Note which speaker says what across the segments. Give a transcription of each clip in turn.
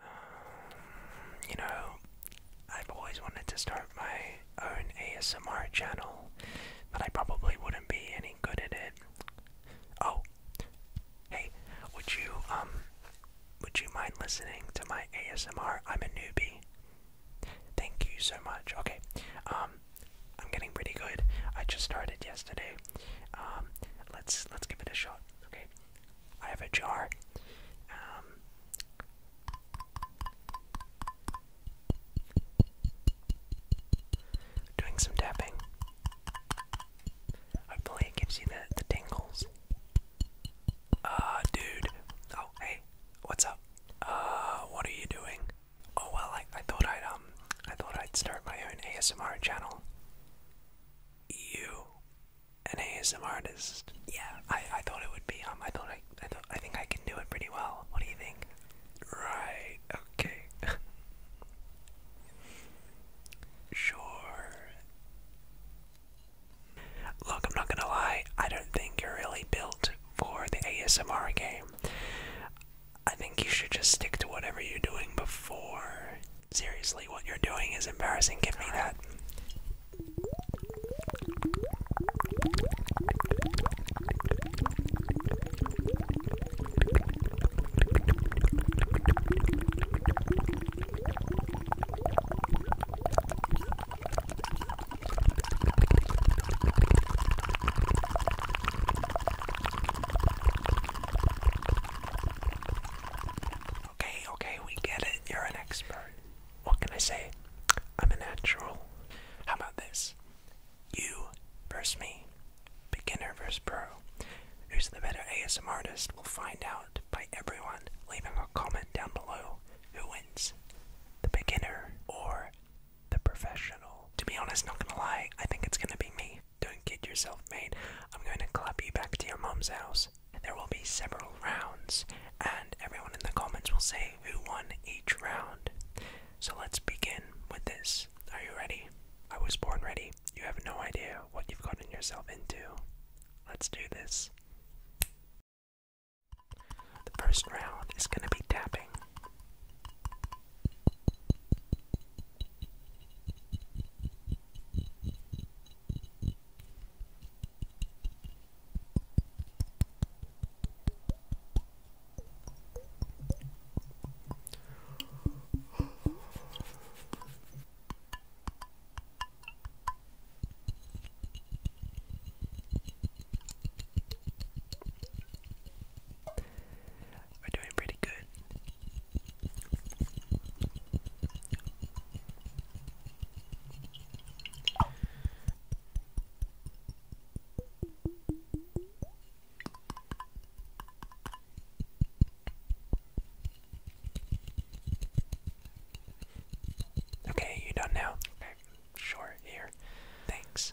Speaker 1: Um, you know, I've always wanted to start my own ASMR channel, but I probably wouldn't be any good at it. Oh, hey, would you um, would you mind listening to my ASMR? I'm a newbie. Thank you so much. Okay, um, I'm getting pretty good. I just started yesterday. Um, let's let's give it a shot. Okay. I have a jar. Um, doing some tapping. Hopefully it gives you the, the tingles. Uh, dude. Oh, hey, what's up? Uh, what are you doing? Oh, well, I, I thought I'd, um, I thought I'd start my own ASMR channel. You an ASMR artist. Yeah, I, I thought it would be. Um, I thought I, thought, I think I can do it pretty well. What do you think? Right. Okay. sure. Look, I'm not gonna lie. I don't think you're really built for the ASMR game. I think you should just stick to whatever you're doing before. Seriously, what you're doing is embarrassing. Give me that. Okay, okay, we get it. You're an expert. What can I say? I'm a natural. How about this? You versus me. Beginner versus pro. Who's the better ASM artist? We'll find out by everyone leaving a comment down below. Who wins? The beginner or the professional? To be honest, not gonna lie, I think it's gonna be me. Don't kid yourself, mate. I'm going to club you back to your mum's house. There will be several rounds, and everyone in the comments will say who won each round. So let's begin with this. Are you ready? I was born ready. You have no idea what you've gotten yourself into. Let's do this. The first round is going to be tapping. We're doing pretty good. Okay, you done now? sure, here. Thanks.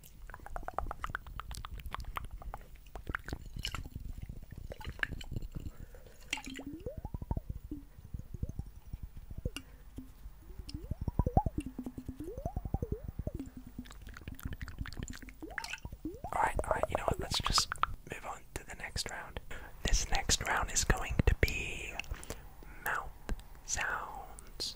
Speaker 1: Alright, alright, you know what? Let's just move on to the next round. This next round is going to be mouth sounds.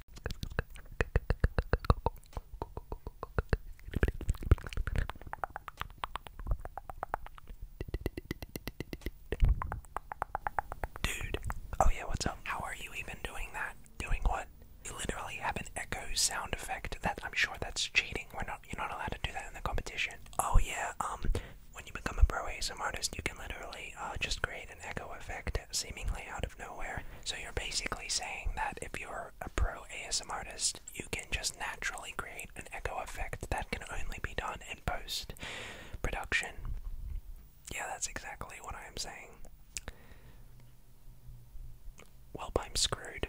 Speaker 1: Dude. Oh, yeah, what's up? How are you even doing that? Doing what? You literally have an echo sound effect. That I'm sure that's cheating. We're not you're not allowed to do that in the competition. Oh yeah, um when you become a pro ASM artist you can literally uh just create an echo effect seemingly out of nowhere. So you're basically saying that if you're a pro ASM artist, you can just naturally create an echo effect that can only be done in post production. Yeah, that's exactly what I'm saying. Well, I'm screwed.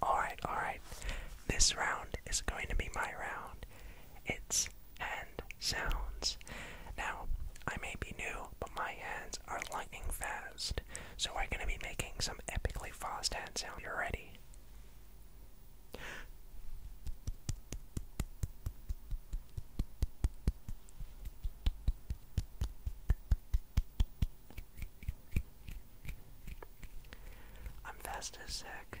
Speaker 1: Alright, alright. This round is going to be my round. It's hand sounds. Now, I may be new, but my hands are lightning fast. So I'm going to be making some epically fast hand sound. You ready? I'm fast as heck.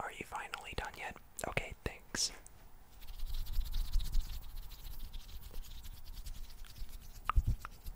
Speaker 1: Are you finally done yet? Okay, thanks.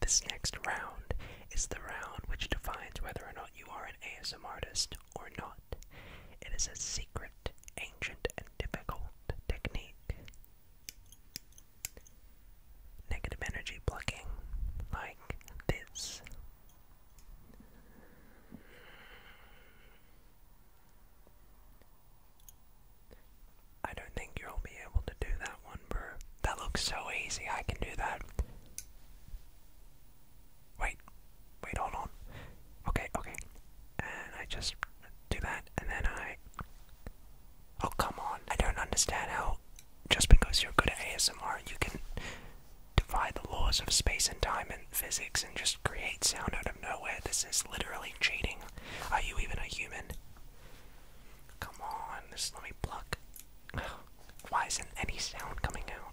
Speaker 1: This next round is the round which defines whether or not you are an ASM artist or not. It is a secret, ancient, and difficult technique. Negative energy plucking, like this. I don't think you'll be able to do that one, bro. That looks so easy, I can do that wait, wait, hold on. Okay, okay. And I just do that, and then I. Oh, come on. I don't understand how just because you're good at ASMR, you can defy the laws of space and time and physics and just create sound out of nowhere. This is literally cheating. Are you even a human? Come on, just let me pluck. Why isn't any sound coming out?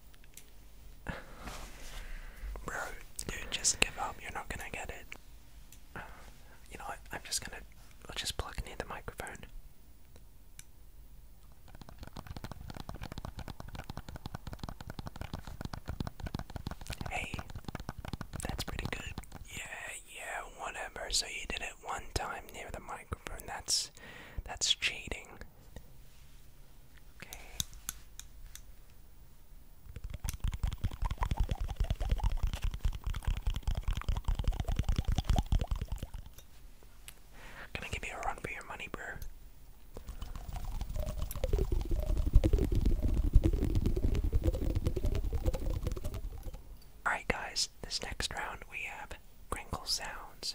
Speaker 1: Bro, dude, just give up. You're not gonna get it. You know what? I'm just gonna. I'll just plug near the microphone. Hey, that's pretty good. Yeah, yeah, whatever. So you did it one time near the microphone. That's that's cheating. Gonna give you a run for your money, bro. Alright, guys, this next round we have Crinkle Sounds.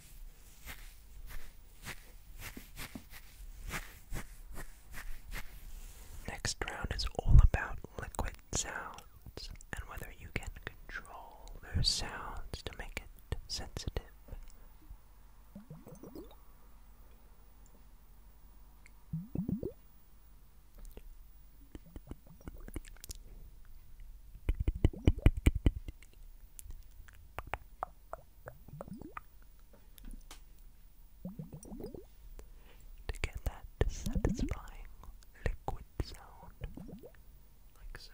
Speaker 1: Next round is all about liquid sounds and whether you can control those sounds to make it sensitive to get that satisfying liquid sound, like so.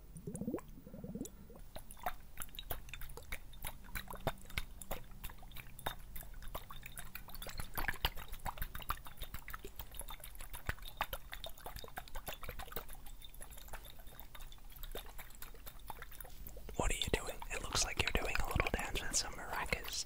Speaker 1: What are you doing? It looks like you're doing a little dance with some maracas.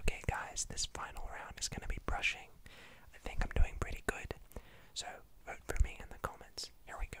Speaker 1: Okay, guys, this final round is going to be brushing. I think I'm doing pretty good, so vote for me in the comments. Here we go.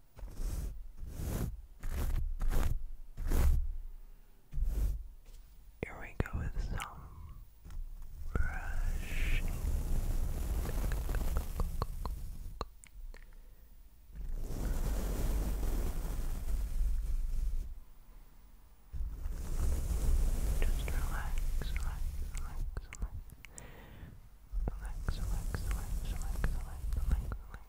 Speaker 1: Here we go with some brushing. Just relax, relax, relax, relax. Relax, relax, relax, relax,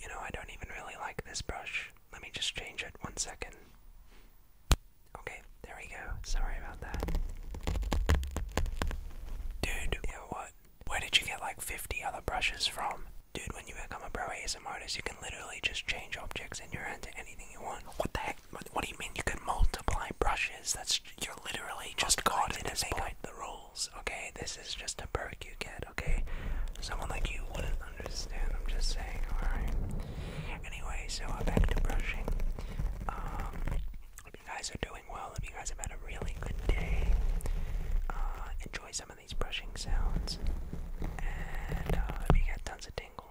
Speaker 1: You know, I don't even really like this brush. Let me just change it one second. Okay, there we go. Sorry about that. Dude, you what? Where did you get like 50 other brushes from? Dude, when you become a pro you can literally just change objects in your hand to anything you want. What the heck? What do you mean you can multiply brushes? That's you're literally just God to this make point. up the rules. Okay, this is just a perk you get. Okay, someone like you wouldn't understand. I'm just saying. All right. Anyway, so uh, back to brushing. Um, hope you guys are doing well. Hope you guys have had a really good day. Uh, enjoy some of these brushing sounds, and uh, hope you get tons of tingles.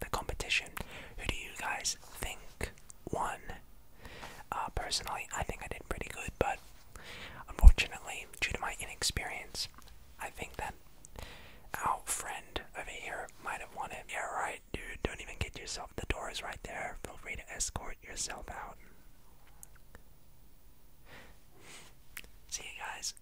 Speaker 1: the competition. Who do you guys think won? Uh, personally, I think I did pretty good, but unfortunately, due to my inexperience, I think that our friend over here might have won it. Yeah, right, dude, don't even get yourself. The door is right there. Feel free to escort yourself out. See you guys.